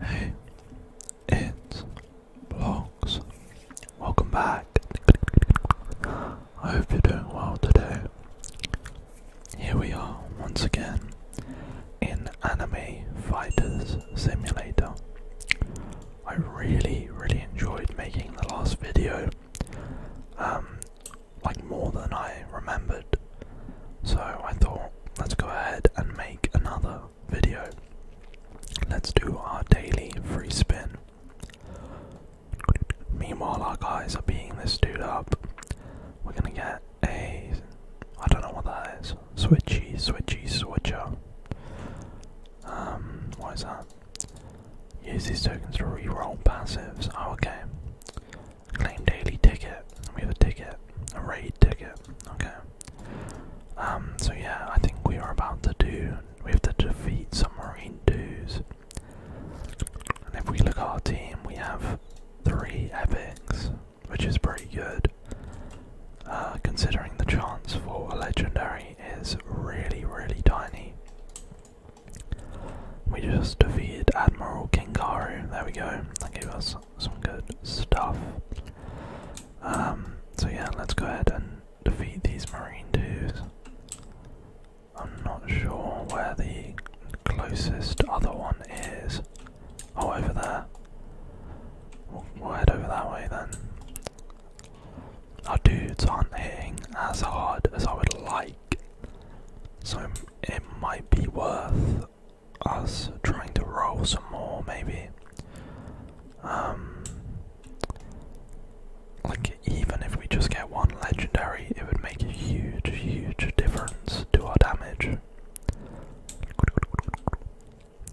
Hey, it's Vlogs. Welcome back. I hope you're doing well today. Here we are once again in Anime Fighters Simulator. I really, really enjoyed making the last video. Um, like more than I remembered. So I thought, let's go ahead and make another video. Let's do our daily free spin. Meanwhile, our guys are beating this dude up. We're gonna get a. I don't know what that is. Switchy, switchy, switcher. Um, what is that? Use these tokens to reroll passives. Oh, okay. Claim daily ticket. We have a ticket. A raid ticket. Okay. Um, so yeah, I think we are about to do we have to defeat submarine dudes. And if we look at our team we have three epics, which is pretty good. Uh, considering the chance for a legendary is really, really tiny. We just defeated Admiral Kingaru. There we go. That gave us some good stuff. Um, so yeah, let's go ahead and defeat these marine dudes. I'm not sure where the closest other one is. Oh, over there. we'll head over that way then. Our dudes aren't hitting as hard as I would like. So it might be worth us trying to roll some more, maybe. Um, like, even if we just get one legendary, it would make a huge, huge difference to our damage.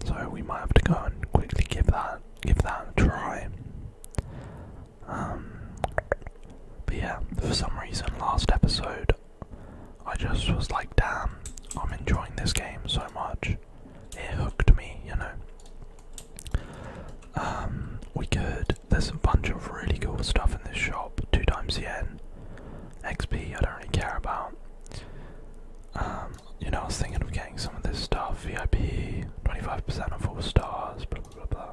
So we might have to go and quickly give that give that a try. Um, but yeah, for some reason, last episode I just was like, damn, I'm enjoying this game so much. It hooked me, you know. Um, we could. There's a bunch of really cool stuff in this shop. Two times the end. XP. I don't really care about. Um, you know, I was thinking of getting some of this stuff. VIP, 25% of four stars. blah blah. blah.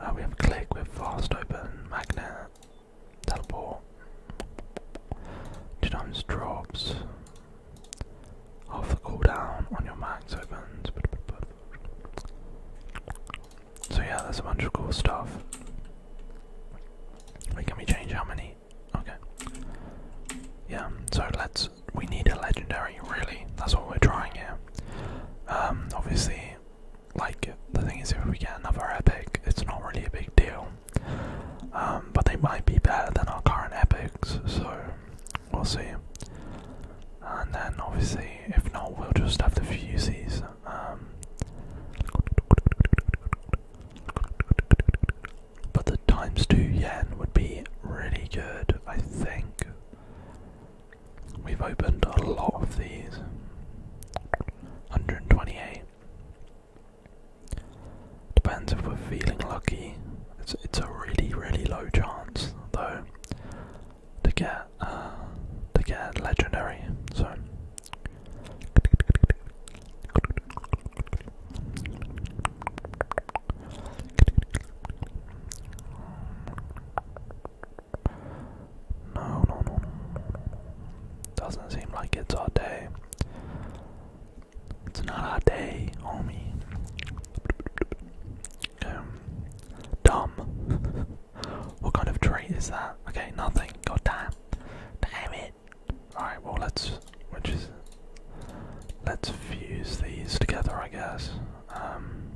Uh, we have click with fast open, magnet, teleport, two times drops, half the cooldown on your max opens. So yeah, there's a bunch of cool stuff. Wait, can we change how many? Okay. Yeah, so let's. We need a legendary, really. That's what we're trying here. Um, obviously, like the thing is if we get another epic it's not really a big deal um, but they might be better than our current epics so we'll see and then obviously if not we'll just have the fuses. Um, but the times 2 yen would be really good I think We've opened a lot of these. 128. Depends if we're feeling lucky. It's it's a really really low chance though to get uh, to get legendary. So no, no, no, no, no, no. Doesn't seem like it's our day. It's not our day, homie. Um, dumb. what kind of trait is that? Okay, nothing. God damn. Damn it. Alright, well, let's. Which is. Let's fuse these together, I guess. Um.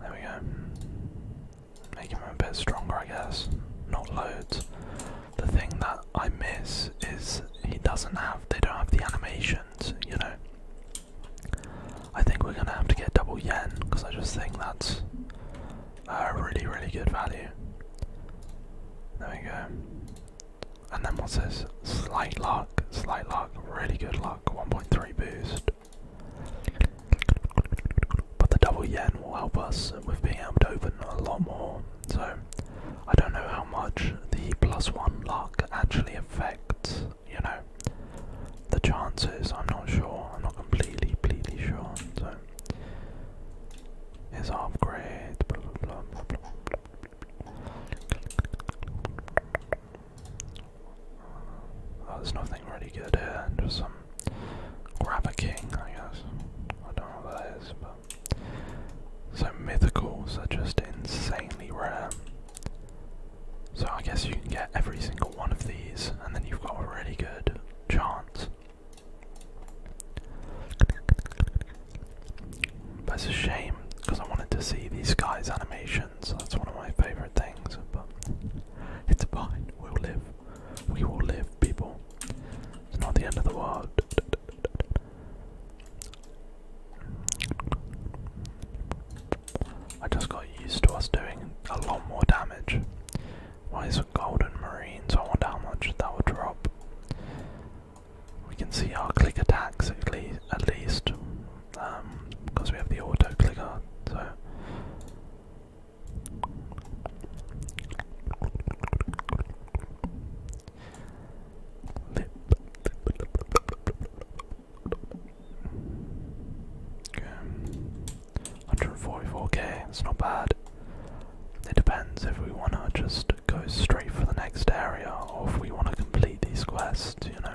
There we go. Making him a bit stronger, I guess. Not loads. The thing that I miss is he doesn't have, they don't have the animations, you know. I think we're gonna have to get double yen because I just think that's a really, really good value. There we go. And then what's this? Slight luck, slight luck, really good luck, 1.3 boost. But the double yen will help us with being able to open a lot more. So I don't know how much the plus one luck actually affects, you know, the chances. I'm not sure. I'm not completely, completely sure. So is upgrade. Oh, there's nothing really good here, just some grab a king, I guess. I don't know what that is, but so mythicals are just insanely rare. So I guess you can get every single one of these, and then you've got a really good chance. But it's a shame because I wanted to see these guys' animation so That's one of my favorite things. But it's fine. We'll live. We will live, people. It's not the end of the world. I just got used to us doing a lot more damage. Why is it golden marines? So I wonder how much that will drop. We can see our click attacks at least because um, we have the auto clicker. So okay. 144k, it's not bad. It depends if we want to just go straight for the next area or if we want to complete these quests, you know.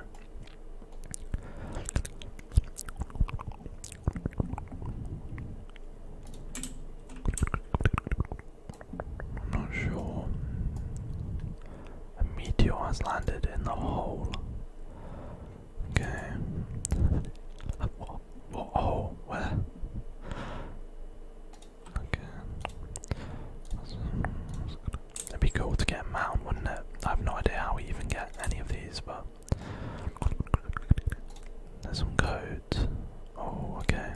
I'm not sure. A meteor has landed in the hole. Okay. what, Where? Okay. It'd be cool to get a mount, wouldn't it? I have no idea how we even get any of these, but now. There's some codes. Oh, okay.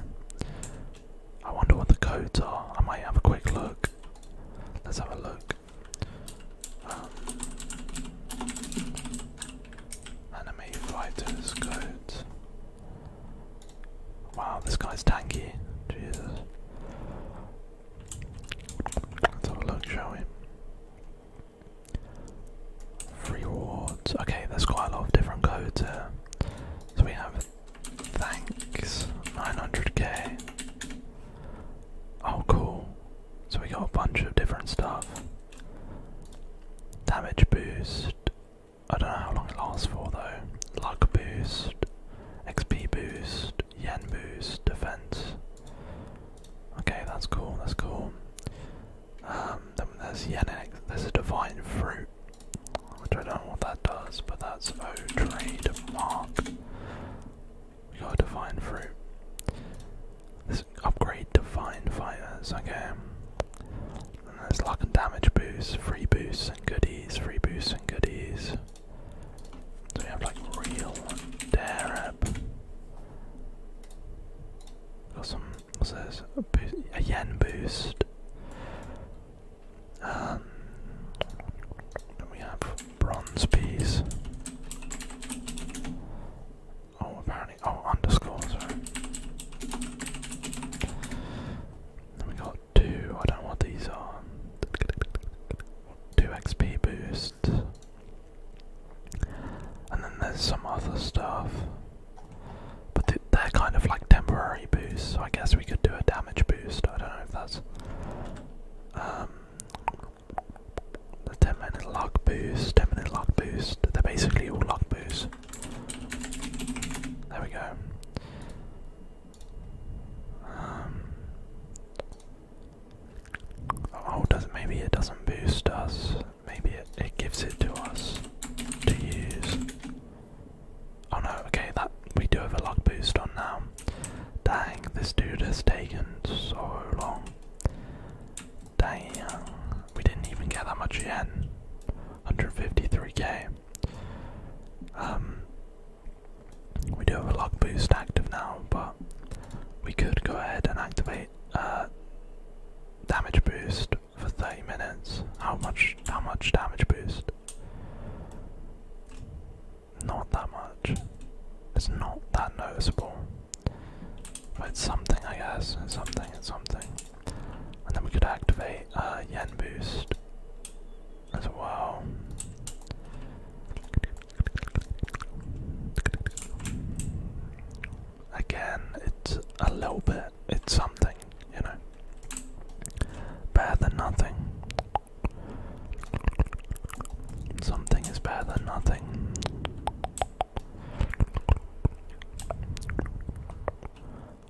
I wonder what the codes are. I might have a quick look. Let's have a look. anime um, fighters codes. Wow, this guy's tanky. Jesus. Let's have a look, shall we? Rewards. Okay, there's quite a lot of different codes here. So we have thanks, 900k. Oh, cool. So we got a bunch of different stuff. Damage boost. I don't know how long it lasts for though. Luck boost, XP boost, yen boost, defense. Okay, that's cool, that's cool. Um, then there's Yannick, there's a divine fruit, which I don't know what that does, but that's O trademark. We got a divine fruit. This upgrade divine fighters, okay. And there's luck and damage boosts, free boosts and goodies, free boosts and goodies. So we have like real Dareb. Got some, what's this? A, yen boost. Um, then we have bronze peas. Oh, apparently, oh, underscore, sorry. Then we got two, I don't know what these are. 2 XP boost. And then there's some other stuff. But they're kind of like temporary boosts, so I guess we could do a damage boost. I don't know if that's. Um, the 10 minute luck boost, 10 minute luck boost. They're basically all luck boosts. There we go. Um, Oh, does maybe it doesn't boost us? Maybe it, it gives it to us to use. Oh no, okay, that we do have a luck boost on now. Dang, this dude has taken so long. Dang, we didn't even get that much yen. 153k. Um, we do have a luck boost active now, but we could go ahead and activate uh, damage boost for 30 minutes. How much? How much damage boost? Not that much. It's not that noticeable. But it's something, I guess. It's something. It's something. And then we could activate uh, Yen boost as well. Again, it's a little bit, it's something, you know. Better than nothing. Something is better than nothing.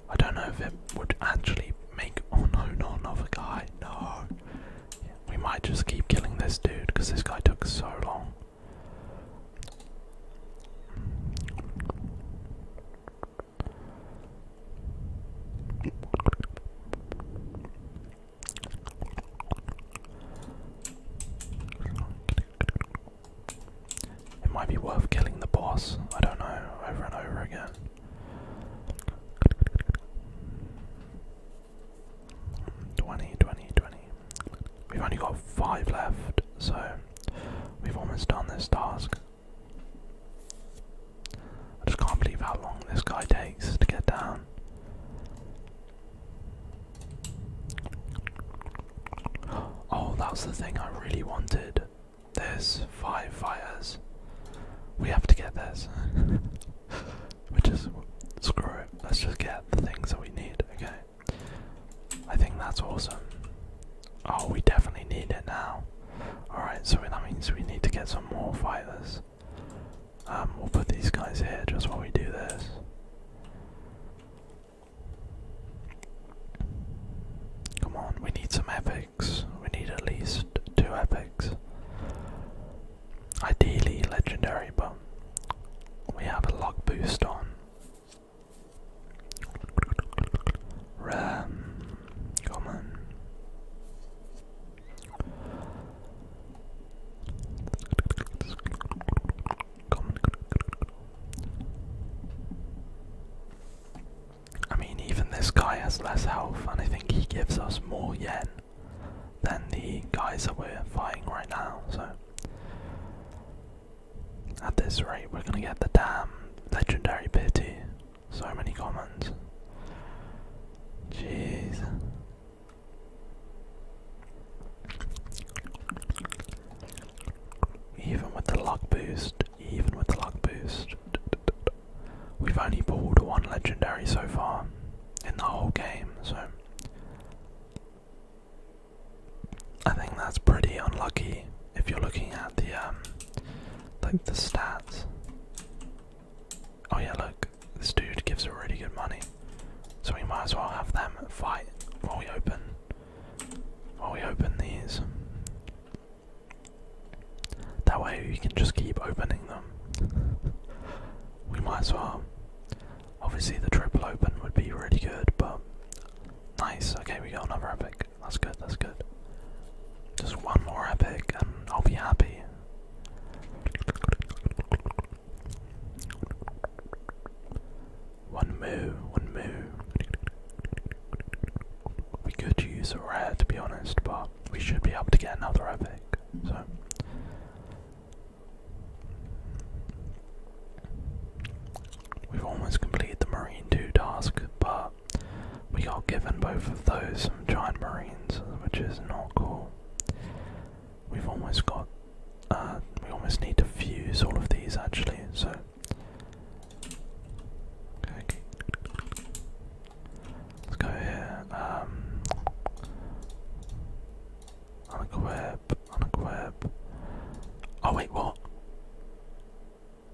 I don't know if it would actually make. Oh no, not another guy. No. we might just keep killing this dude because this guy took so long. It might be worth killing the boss, I don't know, over and over again. 20, We've only got five left, so we've almost done this task. I just can't believe how long this guy takes to get down. Oh, that's the thing I really wanted. There's five fires. We have to get this. Which is screw it. Let's just get the things that we need. Okay. I think that's awesome. Oh, we definitely need it now. Alright, so that means we need to get some more fighters. Um, we'll put these guys here just while we do this. Come on, we need some epics. We need at least two epics. Ideally legendary, but we have a luck boost on. Ram, come on! I mean, even this guy has less health, and I think he gives us more yen than the guys that we're fighting right now. So at this rate, we're gonna get the damn legendary pity. So many comments. Jeez. Even with the luck boost, even with the luck boost, we've only pulled one legendary so far in the whole game, so I think that's pretty unlucky if you're looking at the um, like the stats. Oh yeah, look, this dude gives a really good money. So we might as well have them fight while we open while we open these. That way we can just keep opening them. we might as well. Obviously, the triple open would be really good, but nice. Okay, we got another epic. That's good, that's good. Just one more epic, and I'll be happy. One move. one move. We could use a rare to be honest, but we should be able to get another epic. So We've almost completed the Marine 2 task, but we got given both of those some giant marines, which is not cool. We've almost got uh, we almost need to fuse all of these actually, so Let's go here. Um i go where on a quip. Oh wait, what?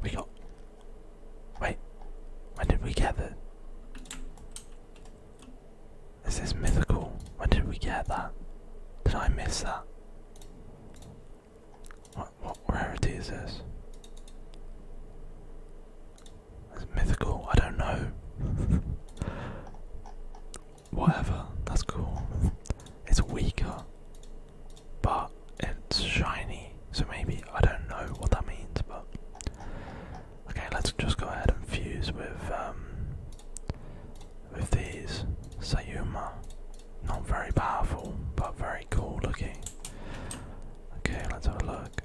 We got. Wait, when did we get that? this is mythical? When did we get that? Did I miss that? What what rarity is this? It's mythical. I don't know. Whatever, that's cool. It's weaker, but it's shiny, so maybe I don't know what that means. But okay, let's just go ahead and fuse with um, with these Sayuma. Not very powerful, but very cool looking. Okay, let's have a look.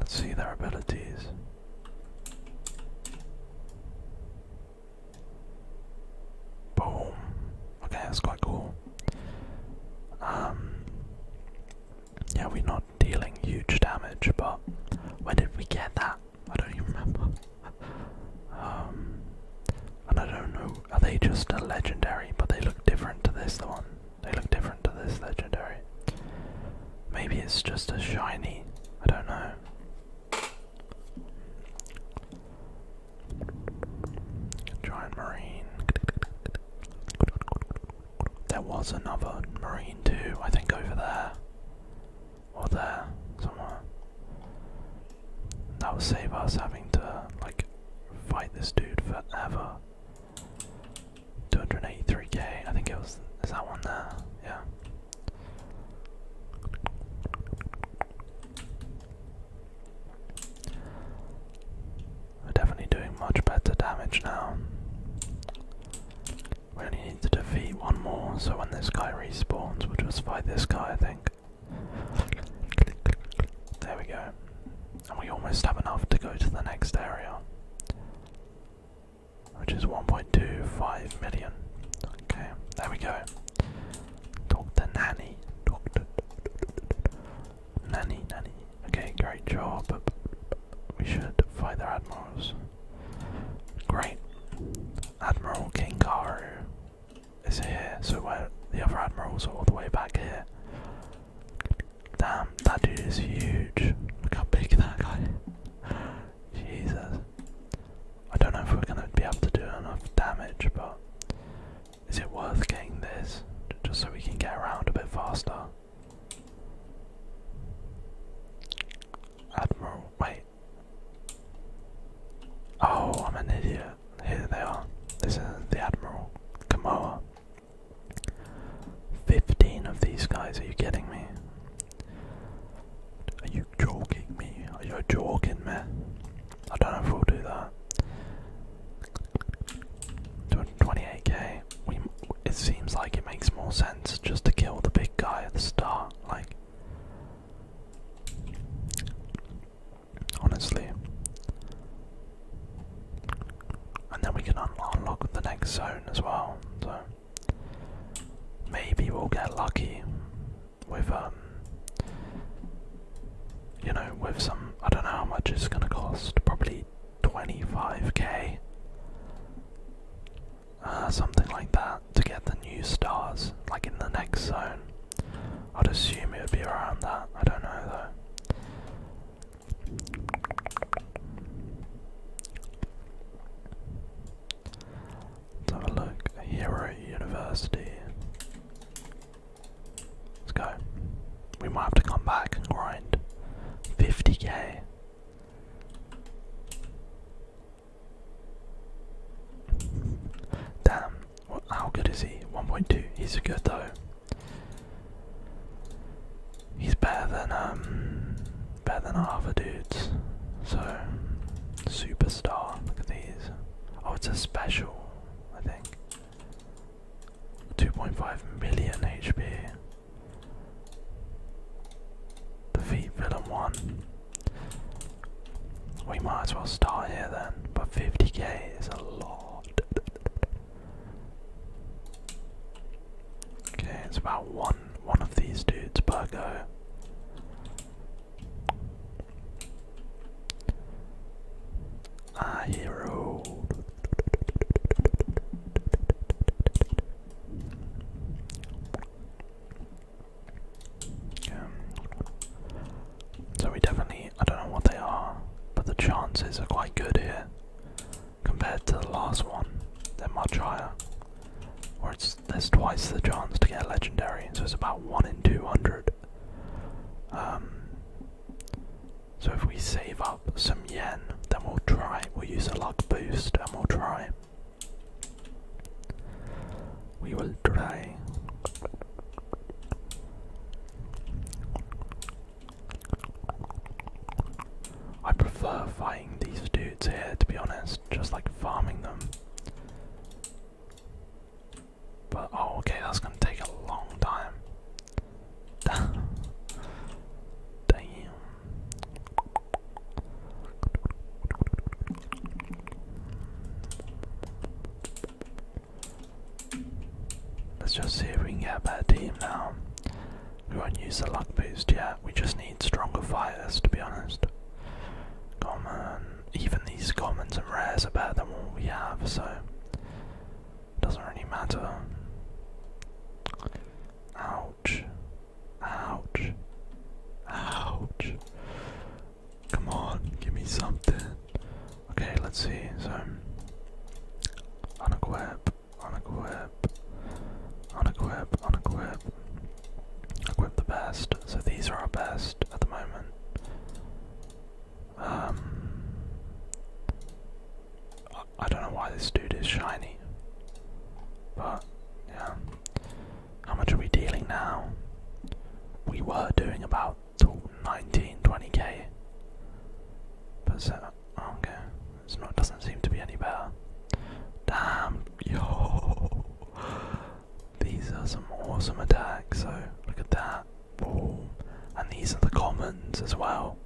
Let's see their abilities. Boom. Okay, that's quite cool. Um, yeah, we're not dealing huge damage, but where did we get that? I don't even remember. um, and I don't know. Are they just a legendary? But they look different to this one. They look different to this legendary. Maybe it's just a shiny. I don't know there. Giant marine. There was another marine too, I think over there. Or there, somewhere. That would save us having to, like, fight this dude forever. 283k, I think it was. Is that one there? Yeah. We're definitely doing much better damage now. We only need to defeat one more, so when this guy respawns, we'll just fight this guy, I think. There we go. And we almost have enough to go to the next area which is 1.25 million. Okay, there we go. Doctor Nanny. Doctor Nanny, Nanny. Okay, great job. We should fight their admirals. Great. Admiral King Karu is here, so where the other admirals are all the way back here. Damn, that dude is huge. Look how big that guy Jesus. I don't know if we're gonna be able to do enough damage, but is it worth getting this just so we can get around a bit faster? Admiral, wait. Oh, I'm an idiot. Here they are. This is the Admiral. Kamoa. Fifteen of these guys, are you kidding me? Are you joking me? Are you joking me? I don't know if we'll do that. 28k. We, it seems like it makes more sense just to kill the big guy at the start. Like, honestly. And then we can unlock the next zone as well. So. Maybe we'll get lucky with um, you know with some I don't know how much it's gonna cost, probably 25k uh, something like that to get the new stars like in the next zone. I'd assume it would be around that. I don't know though. Let's have a look. Hero University. Let's go. We might have to come back and grind. 50k. Damn. What, how good is he? 1.2. He's good though. He's better than um better than half a dude, So, superstar. Look at these. Oh, it's a special, I think. 2.5 million HP. Defeat villain 1. We might as well start here then, but 50k is a lot. Okay, it's about 1 one of these dudes per Ah, hero. So we definitely, I don't know what they are, but the chances are quite good here. Compared to the last one, they're much higher. Or it's there's twice the chance to get legendary, so it's about one in two hundred. Um, so if we save up some yen, then we'll try, we'll use a luck boost and we'll try. We will try. I prefer fighting these dudes here, to be honest, just like farming them. But, oh, okay, that's gonna take a long time. Damn. Let's just see if we can get a better team now. We won't use the luck boost yet, we just need need stronger fires, to be honest. even these commons and rares are better than what we have, so doesn't really matter. Ouch. Ouch. Ouch. Come on, give me something. Okay, let's see. So, unequip, unequip, unequip, unequip. Equip the best. So these are our best at the moment. Um, I, don't know why this dude is shiny, but yeah. How much are we dealing now? We were doing about 19, k But so, okay, it's not. Doesn't seem to be any better. Damn, Yo, these are some awesome attacks. So look at that. and these are the commons as well.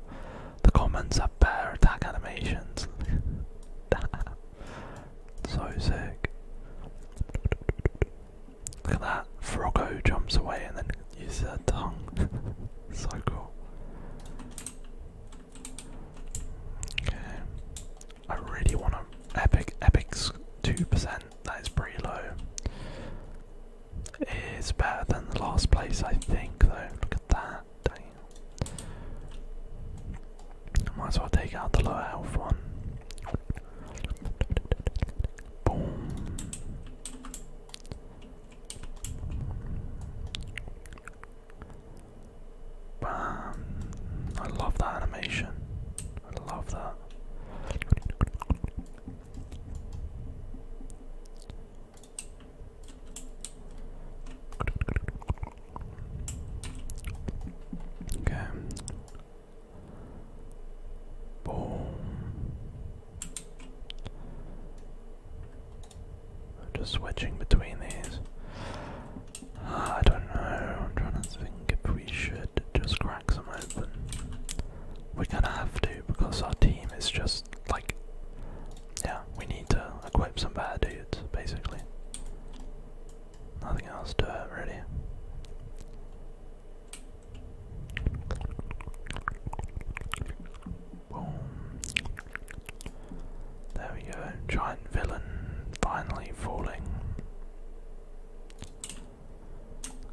The commons have bear attack animations. so sick. Look at that. Froggo jumps away and then uses her tongue. so cool. Okay. I really want to epic epics 2%. That is pretty low. It's better than the last place I think though. Look at that. Dang. Might as well take out the low health one. Boom. I love that animation. I love that. Okay. Boom. Just switching between these. I don't know. I'm trying to think if we should just crack some open. We're gonna have to because our team is just like, yeah, we need to equip some bad dudes basically. Nothing else to it really. Boom. There we go, giant villain finally falling.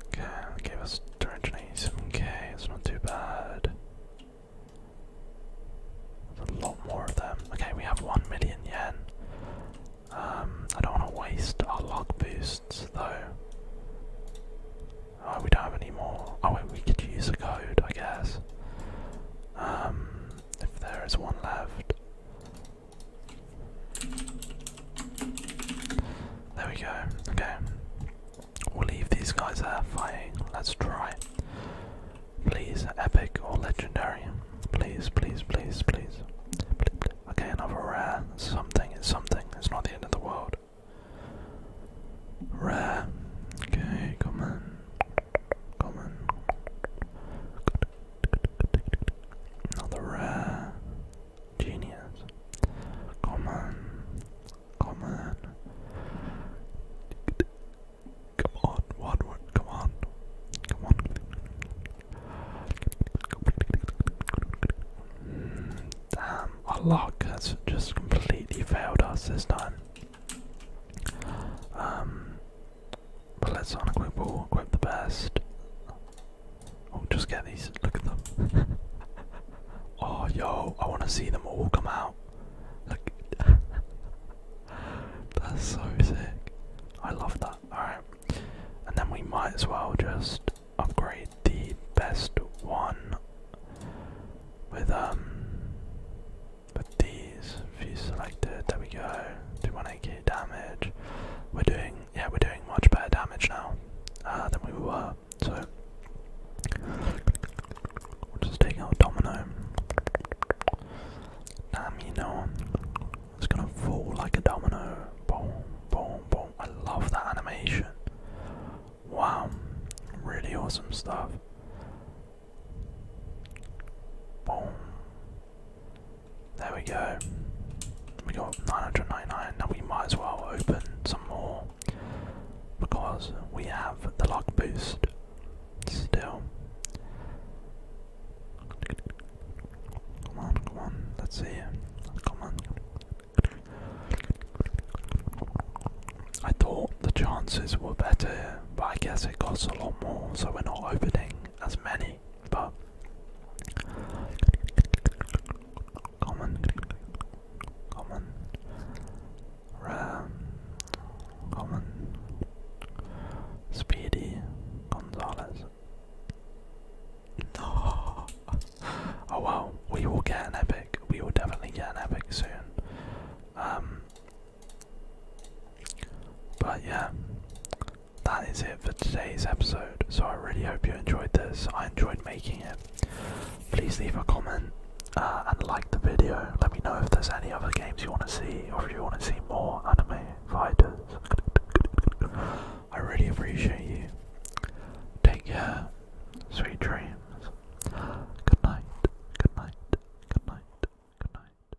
Okay, that us 287k, it's not too bad. a lot more of them. Okay, we have 1 million yen. Um, I don't want to waste our log boosts though. Oh, we don't have any more. Oh, wait, we could use a code, I guess. Um, if there is one left. There we go. Okay. We'll leave these guys there fighting. Let's try. Please, epic or legendary. Please, please, please, please. Okay, another rare. Something, it's something. It's not the end of the world. Rare. Okay, come on. Another rare genius. Common. Common. Come on, what word? Come on. Come on. Mm, damn, our luck has just completely failed us this time. Um, let's unequip all, equip the best. Oh, just get these. Look at them. oh, yo, I want to see them all come out. Look. That's so sick. I love that. Alright. And then we might as well just upgrade the best one with, um. With these select it, there we go. Do 180 damage. We're doing yeah, we're doing much better damage now uh, than we were. So we'll just take out Domino. Domino. It's gonna fall like a domino. Boom, boom, boom. I love that animation. Wow, really awesome stuff. Boom, there we go. We got 999. Now we might as well open some more because we have the lock boost still. Come on, come on. Let's see. Come on. I thought the chances were better, but I guess it costs a lot more, so we're not opening as many but common, common, Ram, common, Speedy, Gonzales. No. Oh well, we will get an epic. We will definitely get an epic soon. Um. But yeah, that is it for today's episode. So I really hope you enjoyed this. I enjoyed making it. Please leave a comment uh, and like the video. Let me know if there's any other games you want to see or if you want to see more anime fighters. I really appreciate you. Take care. Sweet dreams. Good night. Good night. Good night. Good night.